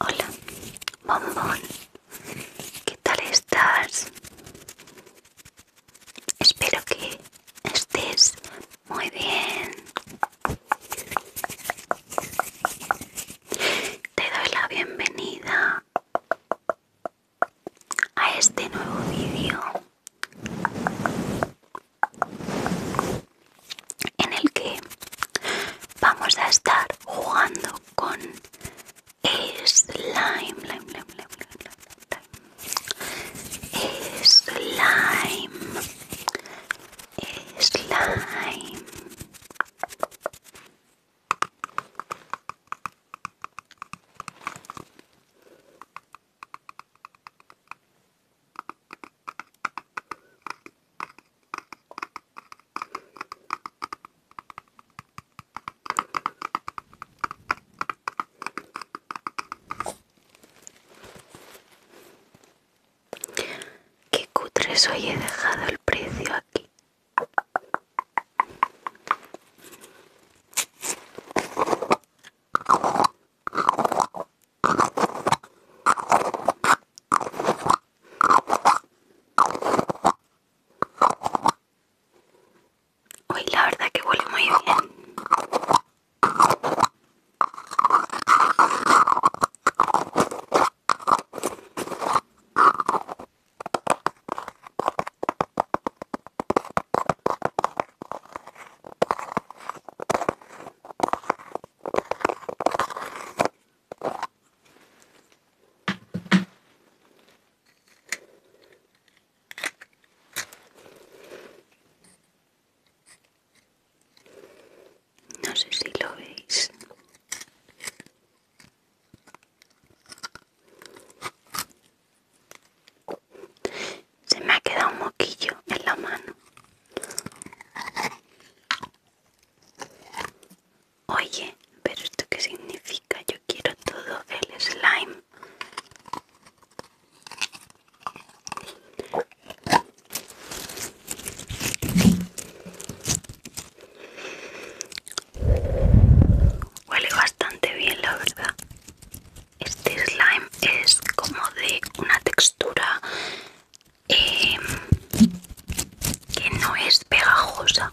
Hola, bombón. ¿Qué tal estás? Espero que estés muy bien. Te doy la bienvenida a este nuevo vídeo en el que vamos a estar jugando con el slime, slime, slime, slime, slime. Qué cutre hoy he dejado el precio aquí. Hoy la verdad que huele muy bien. No sé si lo veis. Se me ha quedado un moquillo en la mano. Oye, pero esto qué significa? Yo quiero todo el slime. Huele bastante bien, la verdad. Este slime es como de una textura Em, que no es pegajosa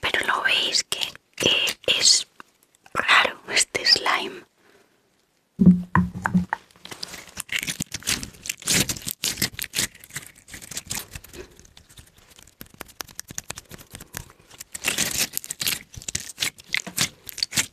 Pero lo veis que, es raro este slime.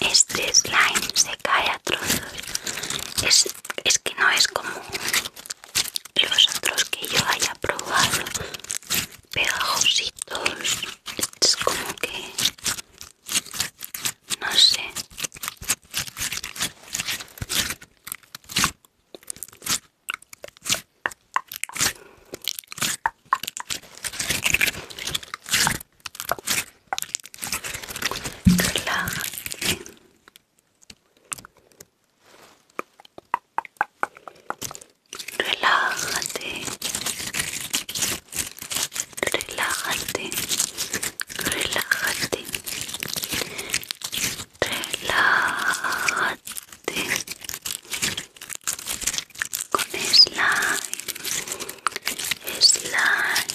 Este slime se cae a trozos. Es, que no es como los otros que yo haya probado. Pegajositos. Es como que... No sé. Relájate. Relájate. Relájate. Relájate. Relájate. Con slime. Slime.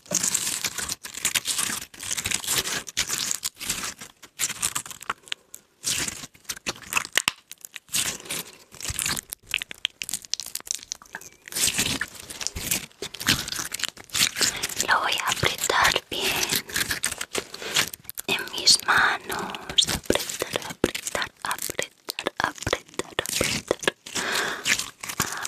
Lo voy a apretar bien en mis manos. Apretar, apretar, apretar, apretar, apretar.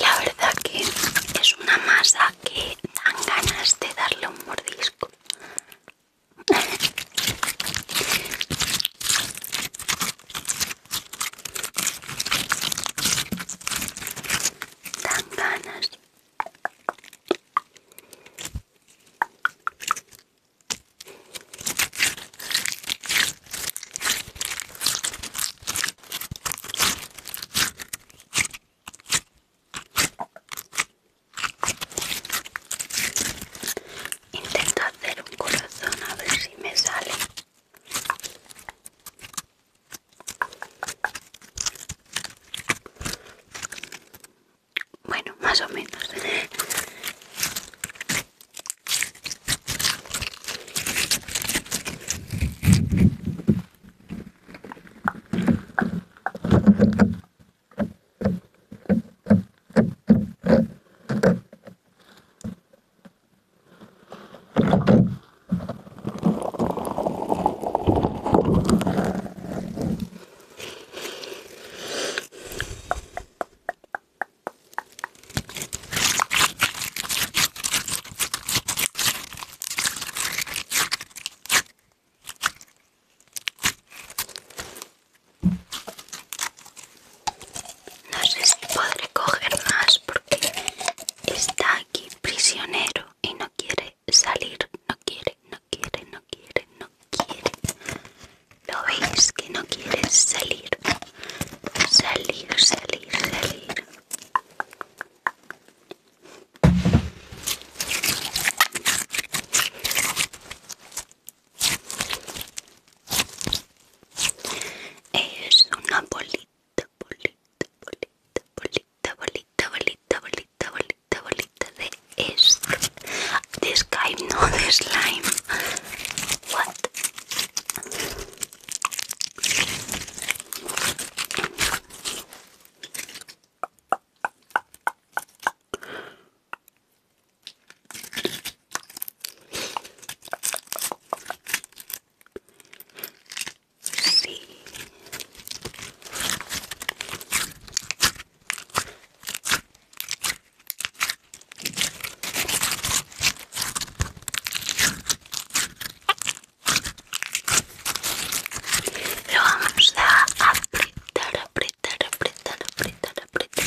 La verdad que es una masa que dan ganas de darle un mordisco. Dan ganas. Intento hacer un corazón a ver si me sale. Bueno, más o menos. No sé si podré coger más porque está aquí prisionero y no quiere salir, no quiere, no quiere, no quiere, no quiere. ¿Lo veis que no quiere salir? Salir, salir, salir. Es una bolita bolita, bolita, bolita, bolita, bolita, bolita, bolita, bolita de este, De Skype, no de slime. What? Lo vamos a apretar, apretar, apretar, apretar, apretar.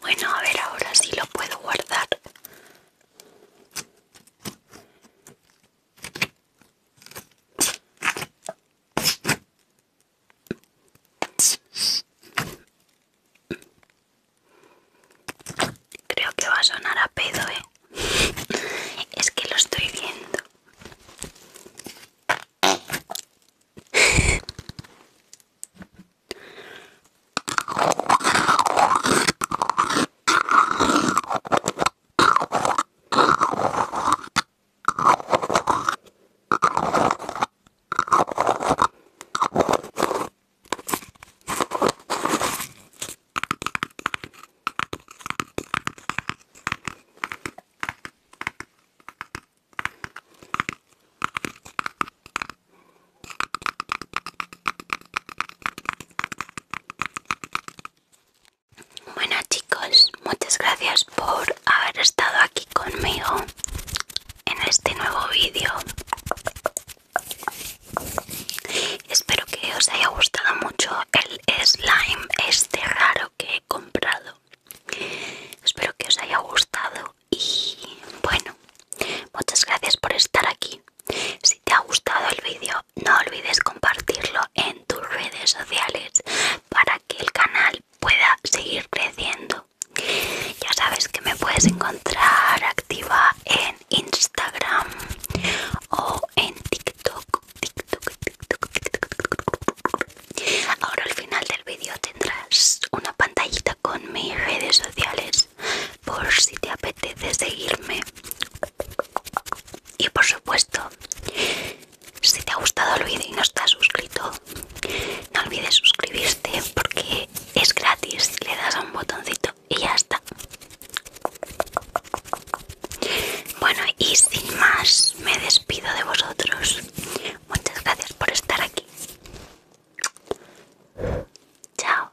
Bueno, a ver, ahora sí lo puedo guardar. Creo que va a sonar a pedo, ¿eh? es que lo estoy viendo. Bueno chicos, muchas gracias por haber estado aquí conmigo en este nuevo vídeo. Espero que os haya gustado mucho el slime este raro que he comprado. Espero que os haya gustado y bueno, muchas gracias por estar aquí. Si te ha gustado el vídeo, no olvides compartirlo en tus redes sociales para que el canal pueda seguir creciendo. Ya sabes que me puedes encontrar activa en Instagram o en TikTok Ahora al final del vídeo tendrás una pantallita con mis redes sociales por si te apetece seguirme. Y por supuesto, si te ha gustado el vídeo y no estás suscrito, no olvides suscribirte porque es gratis, le das a un botoncito y ya está. Bueno, y sin más, me despido de vosotros. Muchas gracias por estar aquí. Chao.